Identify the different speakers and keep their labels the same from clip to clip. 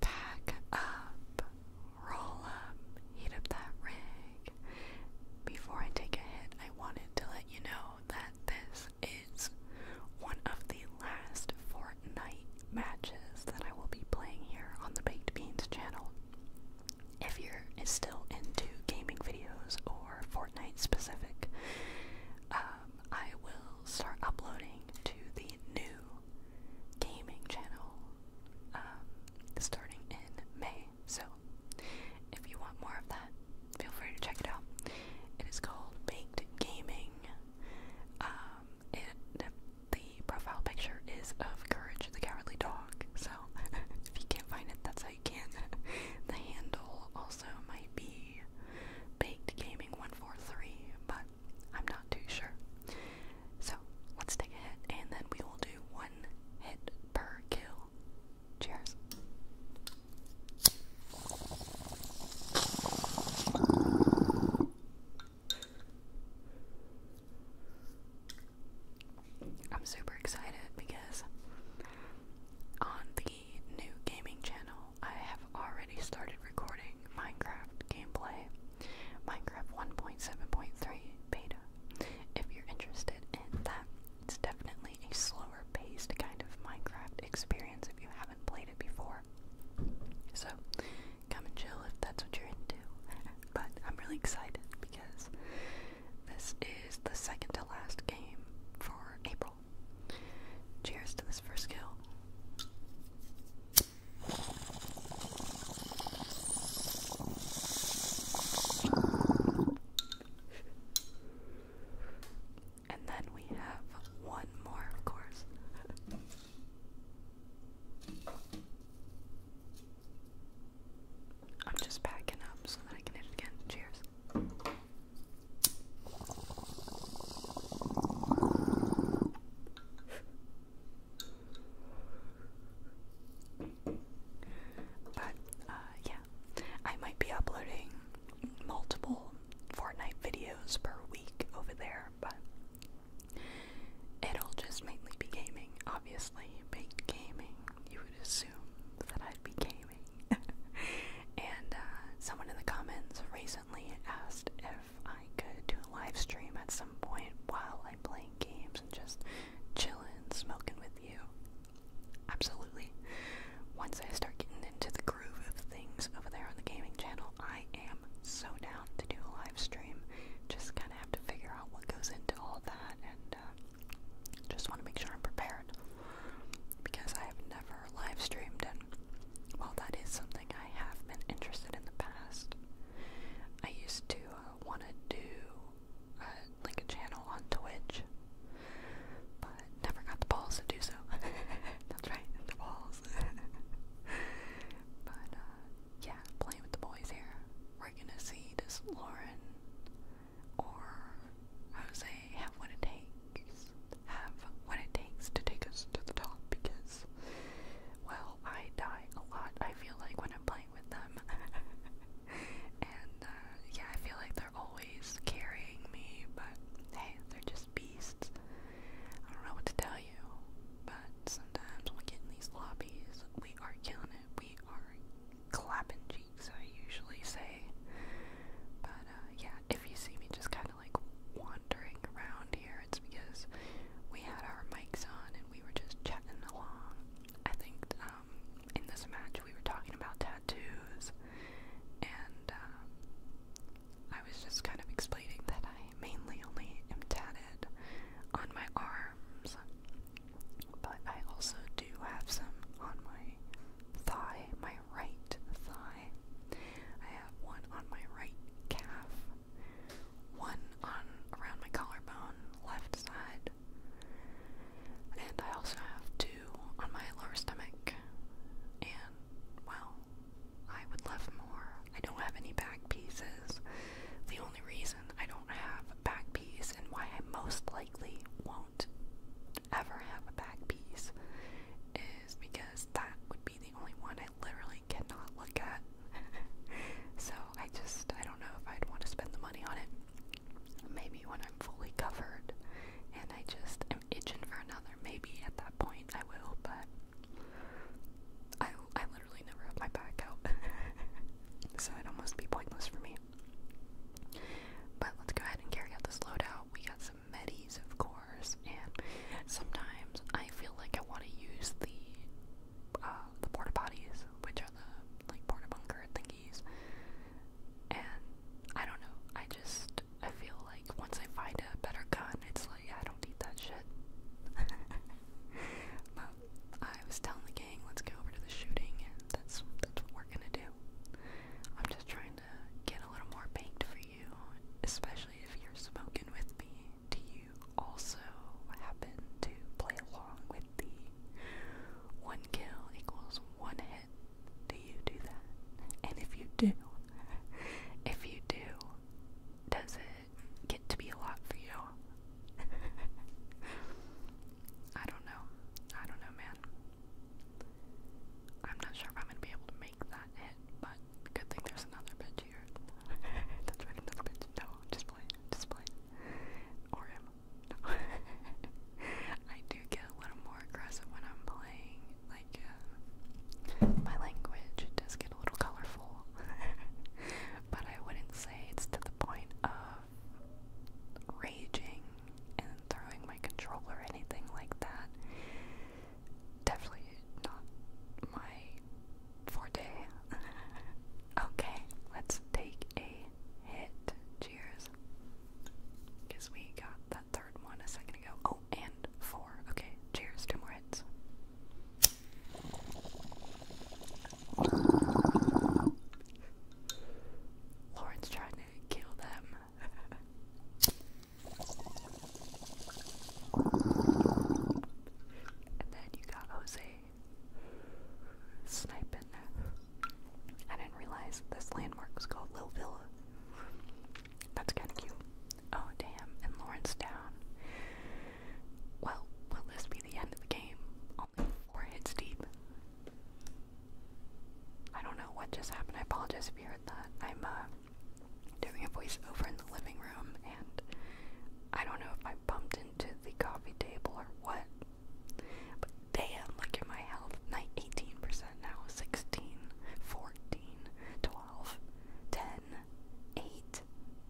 Speaker 1: Pack up, roll up, heat up that rig. Before I take a hit, I wanted to let you know that this is one of the last Fortnite matches that I will be playing here on the Baked Beans channel. If you're still into gaming videos or Fortnite specific, um, I will start uploading to the new gaming channel um, starting in May. So if you want more of that, feel free to check it out. It is called Baked Gaming. Um, it, the, profile picture is of Courage the Cowardly Dog. So if you can't find it, that's how you can. the handle also might be Baked Gaming 143, but I'm not too sure. So let's take a hit and then we will do one hit per kill. Cheers. I'm super excited because on the new gaming channel I have already started recording Minecraft gameplay, Minecraft 1.7.3 beta. If you're interested in that, it's definitely a slower paced kind of Minecraft experience if you haven't played it before. So, come and chill if that's what you're into. But I'm really excited because this is the second to last game for April. Cheers to this first kill. And then we have one more, of course. I'm just packing up so that I can hit it again. Cheers. But uh, yeah, I might be uploading multiple Fortnite videos per week over there, but it'll just mainly be gaming. Obviously, big gaming. You would assume that I'd be gaming. and uh, someone in the comments recently asked if if I could do a live stream at some point while I'm playing games and just chilling, smoking with you. Absolutely. Once I start getting into the groove of things over there on the gaming channel, I am so down to do a live stream. Just kind of have to figure out what goes into all that, and uh, just want to make sure I'm prepared because I have never live streamed in well, that is something I have been interested in the past, I used to uh, want to do uh, like a channel on Twitch, but never got the balls to do so. That's right, the balls. but uh, yeah, playing with the boys here. We're gonna see does Lauren or Jose have what it takes have what it takes to take us to the top because, well, I die a lot, I feel like, when I'm playing with them. and, uh, yeah, I feel like they're always carrying me, but hey, they're just beasts. I don't know what to tell you, but sometimes when we get in these lobbies, we are killing it. We are clapping cheeks, I usually say. But, uh, yeah, if you see me just kind of of like wandering around here, it's because we had our mics on and we were just chatting along. I think um, in this match we were talking about tattoos, and um, I was just kind of explaining that I mainly only am tatted on my arms, but I also do have some on my thigh, my right thigh. I have one on my right calf, one on around my collarbone, left side, and I also have two on my lower stomach. And well, I would love more. I don't have any back pieces. The only reason I don't have back piece and why I most likely won't ever have a back piece is because that would be the only one I literally cannot look at. so I just, I don't know if I'd want to spend the money on it. Maybe when I'm fully covered and I just am itching for another, maybe at that point I will, but I, I literally never have my back out. so it'd almost be pointless for me. But let's go ahead and carry out this loadout. We got have of course, and sometimes I feel like I want to use the uh, the porta potties, which are the like porta bunker thingies, and I don't know. I just I feel like once I find a better gun, it's like I don't need that shit. but I was telling the gang, let's go over to the shooting, and that's that's what we're gonna do. I'm just trying trying to get a little more baked for you, especially if you're smoking with me. Do you also happen to play along with the one kill equals one hit? Do you do that? And if you do, if you do, does it get to be a lot for you? I don't know. I don't know, man. I'm not sure if I'm gonna be able to make that hit, but good thing there's another bitch here. That's right, another bitch. No, just play, just play. Or him. I do get a little more aggressive when I'm playing. Like, uh, my language does get a little colorful. but I wouldn't say it's to the point of raging and throwing my controller anything like that. Definitely not my forte. okay, let's take a hit. Cheers. Because we got that third one a second ago. Oh, and four. Okay, cheers. Two more hits. Lauren's trying to kill them and then you got Jose sniping. I didn't realize this landmark was called Lil Villa. That's kind of cute. Oh, damn. And Lawrence down. Well, will this be the end of the game? Only four hits deep. I don't know what just happened. I apologize if you heard that. I'm uh, doing a voiceover in the living room, and I don't know if I bumped into the coffee table or what. But damn, look at my health. Night 18% now, 16, 14, 12, 10, 8,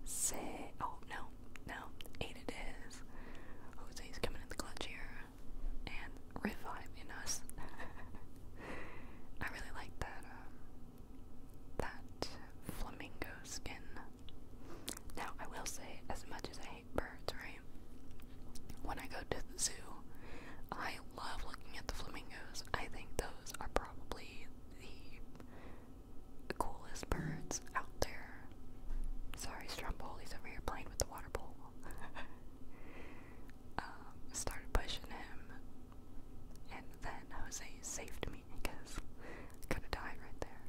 Speaker 1: 6. Oh, no, no, 8 it is. Jose's coming in the clutch here and reviving us. I really like that um, that flamingo skin. Now I will say, as much as I hate birds, right? When I go to the zoo, I love looking at the flamingos. I think those are probably the coolest birds out there. Sorry, He's over here playing with the water bowl. Um, started pushing him, and then Jose saved me because I could have right there.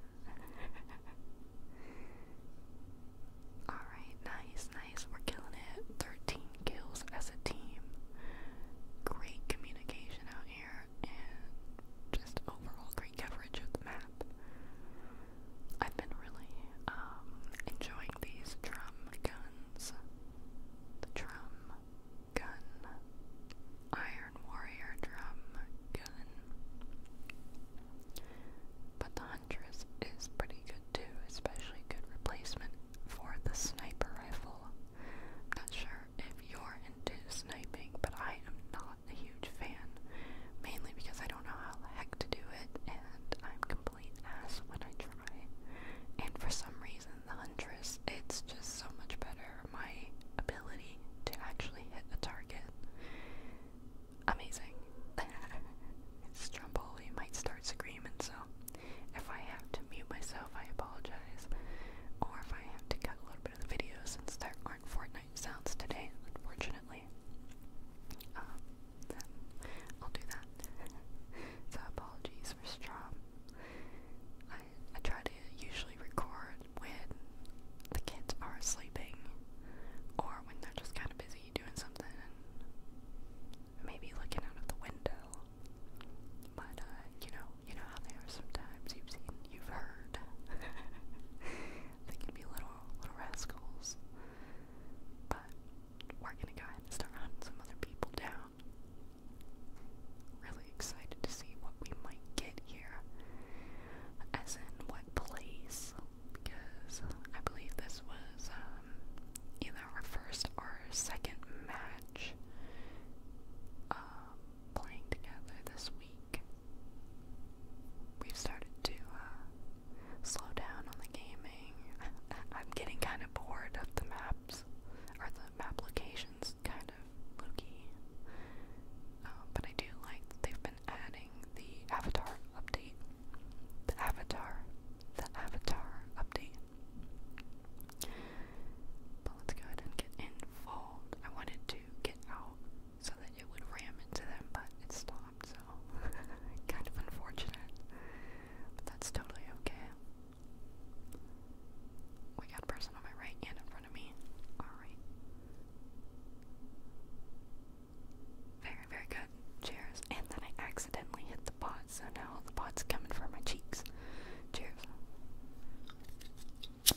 Speaker 1: Alright, nice, nice. We're killing it. 13 kills as a team. Great communication out here, and just overall great coverage of the map. I've been really um, enjoying these drum guns. The drum gun, Iron Warrior drum gun. But the Huntress is pretty good too, especially good replacement for the sniper rifle. I'm not sure if you're into sniping, but I am not not a huge fan, mainly because I don't know how the heck to do it, and I'm complete ass when I try. And for some reason, the Huntress, it's just so much better. My ability to actually hit a target, amazing. Stromboli might start screaming, so if I have to mute myself, I apologize. Or if I have to cut a little bit of the video since there aren't Fortnite sounds today, unfortunately. Um, I'll do that. so apologies for strum. I try to usually record when the kids are sleeping or when they're just kind of busy doing something and maybe looking out of the window. But uh, you know, you know how they are sometimes. You've seen, you've heard. They can be little little rascals. But we're gonna go and start hunting some other people down. Really excited to see what we might get here. As in what place. Because I believe this was um, either our first or second match um, playing together this week we've started to uh, slow down on the gaming. I'm getting kind of bored of the maps, or the map kind of looky. Um, but I do like they've been adding the avatar update. The avatar. The avatar update. But let's go ahead and get involved. I wanted to get out so that it would ram into them, but it stopped, so kind of unfortunate. But that's totally okay. We got a person on my right and in front of me. Alright. Very, very good. Cheers. And then I accidentally hit the pot, so now the pot's coming for my cheeks. Cheers. Did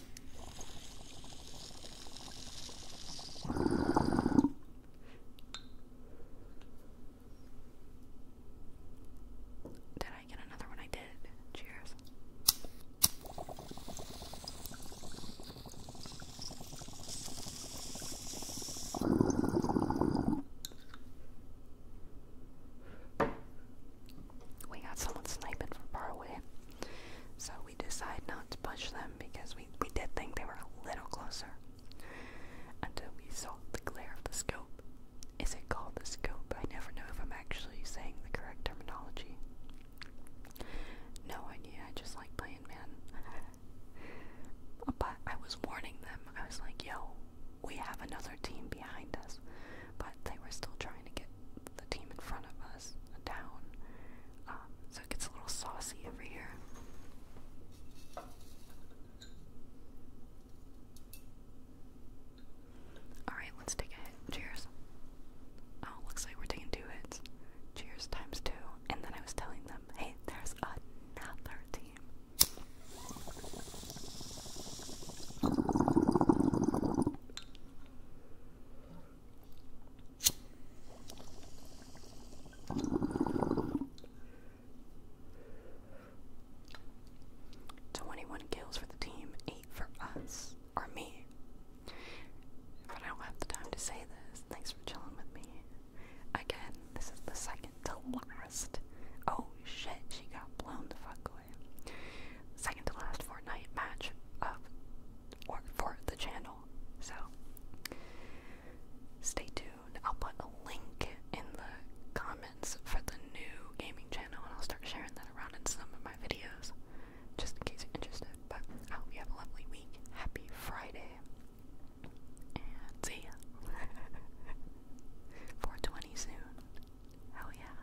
Speaker 1: I get another one? I did. Cheers. We got someone sniping from far away, so we decide not to push them because we, we did think they were a little closer until we saw the glare of the scope. Is it called the scope? I never know if I'm actually saying the correct terminology. No idea, I just like playing man. but I was warning them. I was like, yo, we have another team behind us. But they were still trying to get the team in front of us down. Um, so it gets a little saucy over here. Alright, let's take a hit. Cheers. Oh, looks like we're taking two hits. Cheers times two. And then I was telling them, hey, there's another team. 21 kills for the team, 8 for us, or me. But I don't have the time to say this. Thanks for chilling with me. Again, this is the second to last. Oh shit, she got blown the fuck away second to last Fortnite match of or for the channel. So stay tuned. I'll put a link in the comments for the new gaming channel and I'll start sharing that around in some of my videos just in case you're interested. But I hope you have a lovely week. Happy Friday. And see ya. 420 soon. Hell yeah.